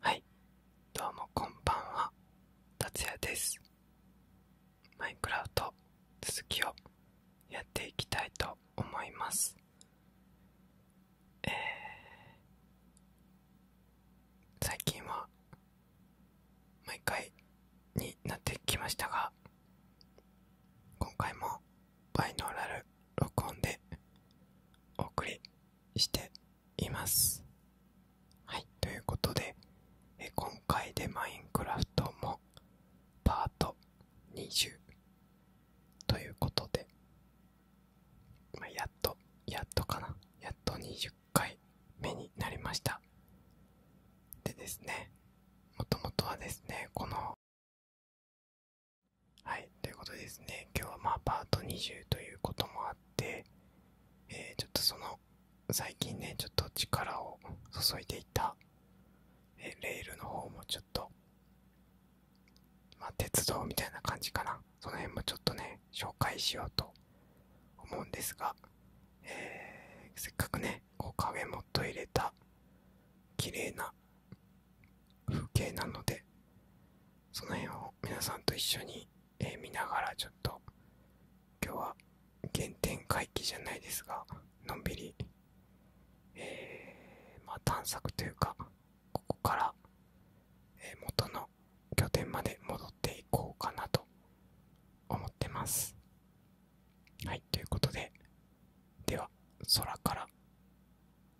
はいどうもこんばんは達也ですマイクラフト続きをやっていきたいと思いますえ最近は毎回になってきましたが今回もバイノーラル録音でお送りしていますはいということでえ今回でマインクラフトもパート20ということで、まやっとやっとかなやっと20回目になりましたでですねもともとはですね、この、はい、ということですね、今日はまあパート20ということもあって、えちょっとその、最近ね、ちょっと力を注いでいた、レールの方もちょっと、ま鉄道みたいな感じかな。その辺もちょっとね、紹介しようと思うんですが、えせっかくねこう影もっと入れた綺麗な風景なのでその辺を皆さんと一緒に、え見ながらちょっと今日は原点回帰じゃないですがのんびり、えま探索というかここから、え元の拠点まで戻っていこうかなと思ってます。はい、ということで、では、空から、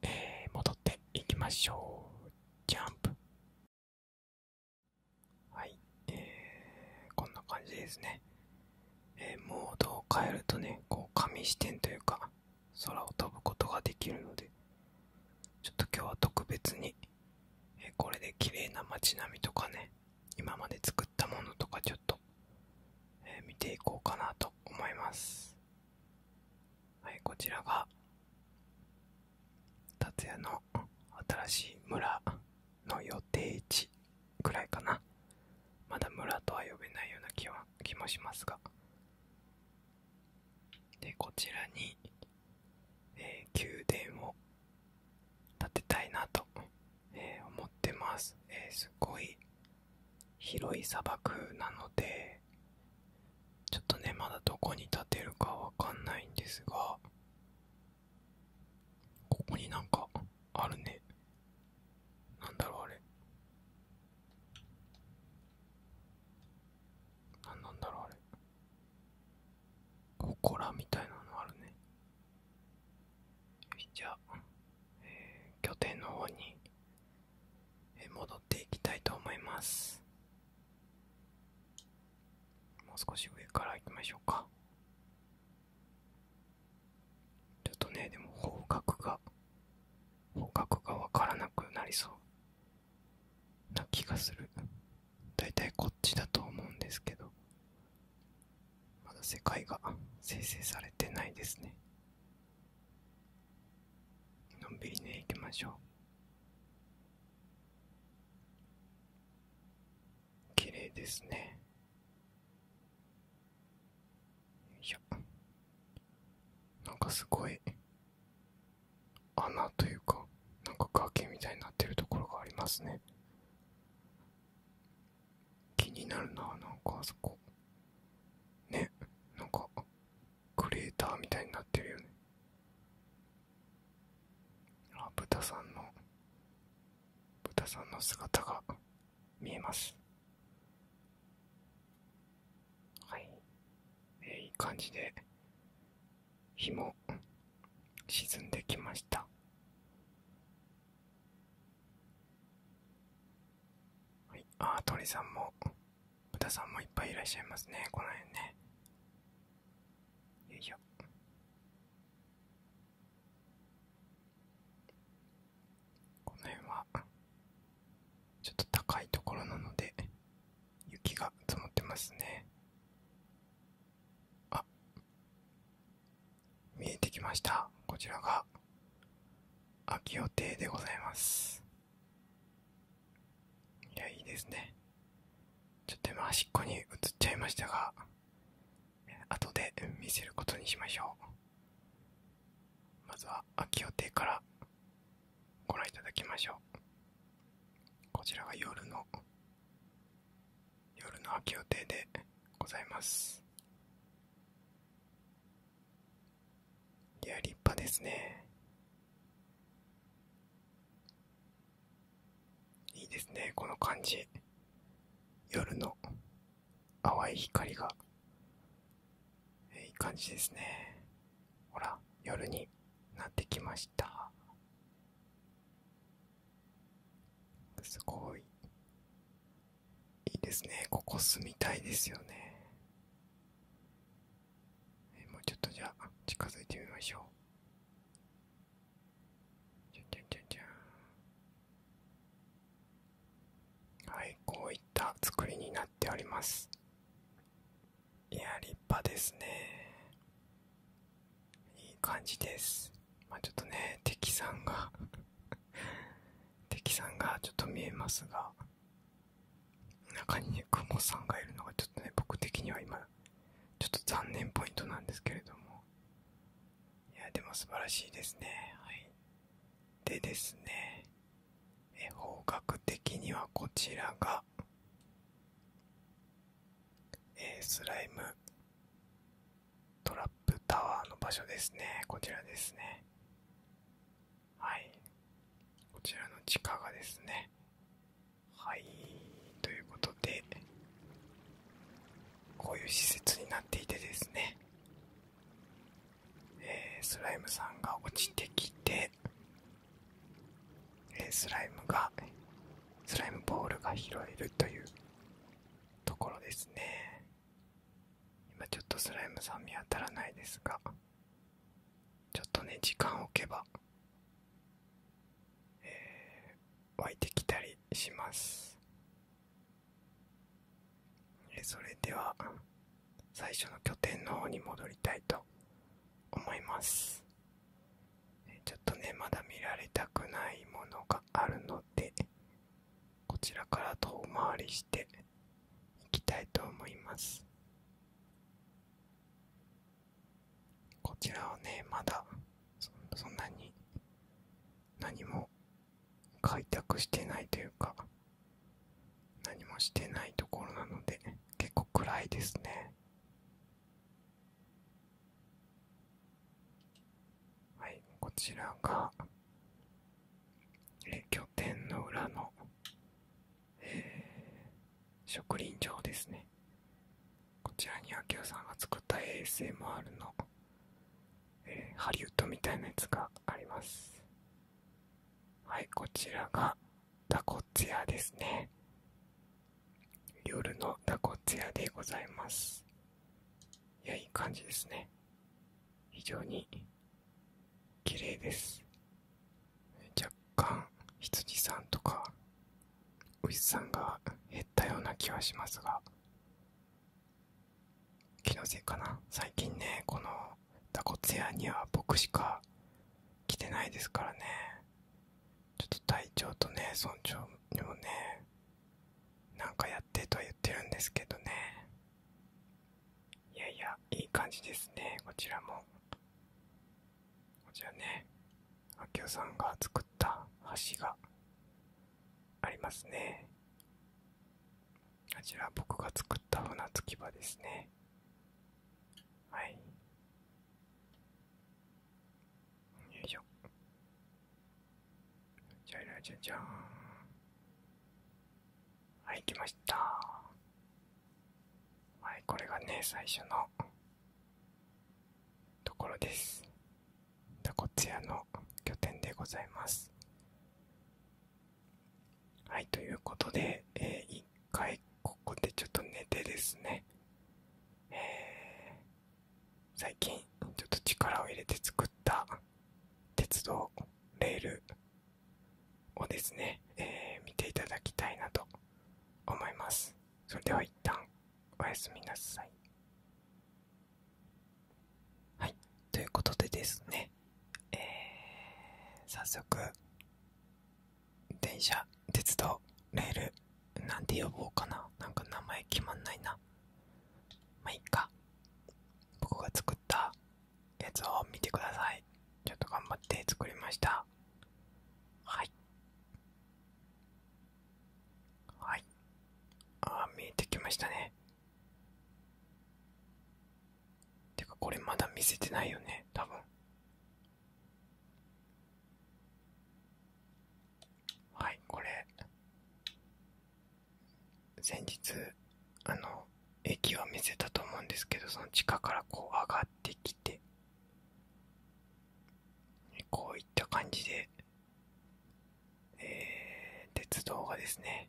え戻っていきましょう。ジャンプ。はい、えー、こんな感じですね。モードを変えるとね、こう、紙視点というか、空を飛ぶことができるので、ちょっと今日は特別に、えこれで綺麗な街並みとかね今まで作ったものとかちょっと、え見ていこうかなと思いますはいこちらが達也の新しい村の予定地くらいかなまだ村とは呼べないような気は気もしますがでこちらにえ宮殿を建てたいなと、え思ってます、えすっごい広い砂漠なのでちょっとねまだどこに建てるかわかんないんですがここになんかあるねなんだろうあれなんなんだろうあれここらみたいなのあるねじゃあ、えー、拠点の方に、え戻っていきたいと思いますもう少し上から行きましょうかちょっとねでも方角が方角がわからなくなりそうな気がするだいたいこっちだと思うんですけどまだ世界が生成されてないですねのんびりね行きましょう綺麗ですねよいしょなんかすごい穴というかなんか崖みたいになってるところがありますね気になるななんかあそこねなんかクレーターみたいになってるよねあ豚さんの豚さんの姿が見えますはい、えいい感じで日も沈んできましたはいあ鳥さんも豚さんもいっぱいいらっしゃいますねこの辺ねよいしょこの辺はちょっと高いところなので雪が積もってますねあ見えてきましたこちらが秋予定でございますいやいいですねちょっと今端っこに映っちゃいましたが後で見せることにしましょうまずは秋予定からご覧いただきましょうこちらが夜の夜の秋予定でございますいや立派ですねいいですねこの感じ夜の淡い光がいい感じですねほら夜になってきましたすごいいいですねここ住みたいですよねもうちょっとじゃあ近づいてみましょうじゃじゃじゃじゃはいこういった作りになっておりますいや立派ですねいい感じですまちょっとね敵さんが敵さんがちょっと見えますが中にねクモさんがいるのがちょっとね僕的には今ちょっと残念ポイントなんですけれどもいやでも素晴らしいですねはいでですね方角的にはこちらが、えスライムトラップタワーの場所ですねこちらですねはいこちらの地下がですねはいということでこういう施設になっていてですねえスライムさんが落ちてきて、えスライムがスライムボールが拾えるというところですね今ちょっとスライムさん見当たらないですがちょっとね時間を置けば、え湧いてきたりしますそれでは最初の拠点の方に戻りたいと思いますちょっとねまだ見られたくないものがあるのでこちらから遠回りしていきたいと思いますこちらはねまだそんなに何も開拓してないというか何もしてないところなので結構暗いですねはいこちらがえ拠点の裏の、えー、植林場ですねこちらにあきさんが作った ASMR の、えハリウッドみたいなやつがありますはい、こちらがダコツヤですね。夜のダコツヤでございます。いや、いい感じですね。非常に綺麗です。若干、羊さんとか、牛さんが減ったような気はしますが、気のせいかな最近ねこのダコツヤには僕しか来てないですからねちょっと体調とね村長にもねなんかやってとは言ってるんですけどねいやいやいい感じですねこちらもこちらね明夫さんが作った橋がありますねあちら僕が作った船着き場ですねはいよいしょじゃらじゃじゃんはい来ましたはいこれがね最初のところですタコツ屋の拠点でございますはいということで、え1回ここでちょっと寝てですね、最近ちょっと力を入れて作った鉄道レールをですね、え見ていただきたいなと思いますそれでは一旦おやすみなさいはい。ということでですね、え早速、電車、鉄道、レール、なんて呼ぼうかな。なんか名前決まんないな。まあ、いっか。僕が作ったやつを見てください。ちょっと頑張って作りました。はい。はい。ああ、見えてきましたね。てかこれまだ見せてないよね多分はいこれ先日あの駅は見せたと思うんですけどその地下からこう上がってきてこういった感じでえ鉄道がですね、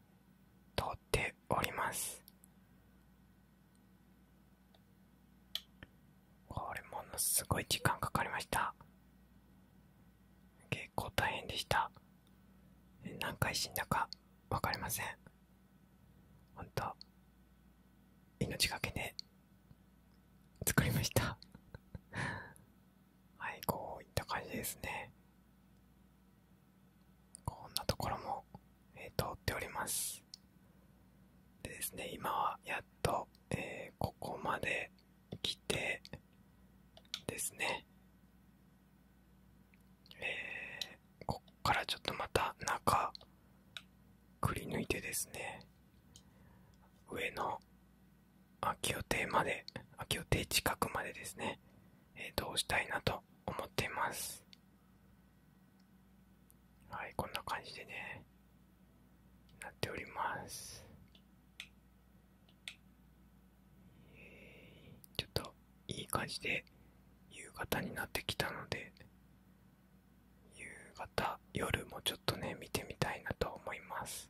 通っております。これものすごい時間かかりました。結構大変でした。何回死んだかわかりません。ほんと、命がけで作りましたはい、こういった感じですね。こんなところも、通っております。でですね、今はやっと、えここまで来てですね、えこっからちょっとまた中くり抜いてですね、上の秋予定まで、秋予定近くまでですね、えー、どしたいなと思ってます。はい、こんな感じでね、なっております。ちょっといい感じで夕方になってきたので、夕方、夜もちょっとね、見てみたいなと思います。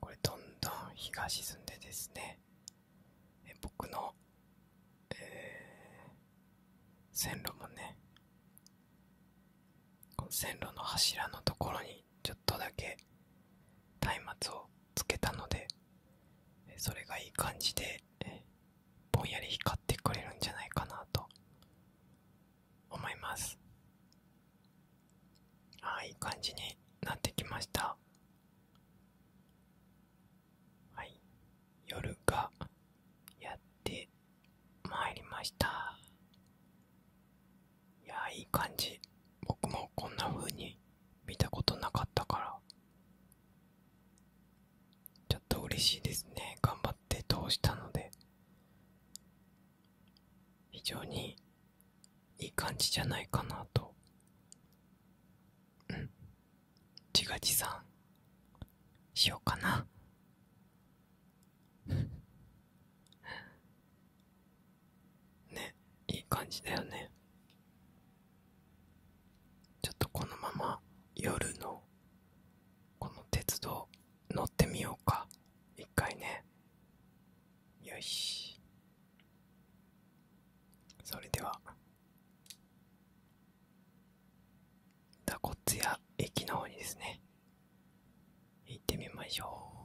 これどんどん日が沈んでですね僕の、線路もね線路の柱のところにちょっとだけ松明をつけたのでそれがいい感じでぼんやり光ってくれるんじゃないかなと思いますああいい感じになってきましたはい夜がやってまいりましたいやいい感じ僕もこんな風に見たことなかったからちょっと嬉しいですね頑張って通したので非常にいい感じじゃないかなとうん自画自賛しようかな ねいい感じだよねちょっとこのまま夜のこの鉄道乗ってみようか一回ねよしそれでは蛇骨ツ駅の方にですね行ってみましょう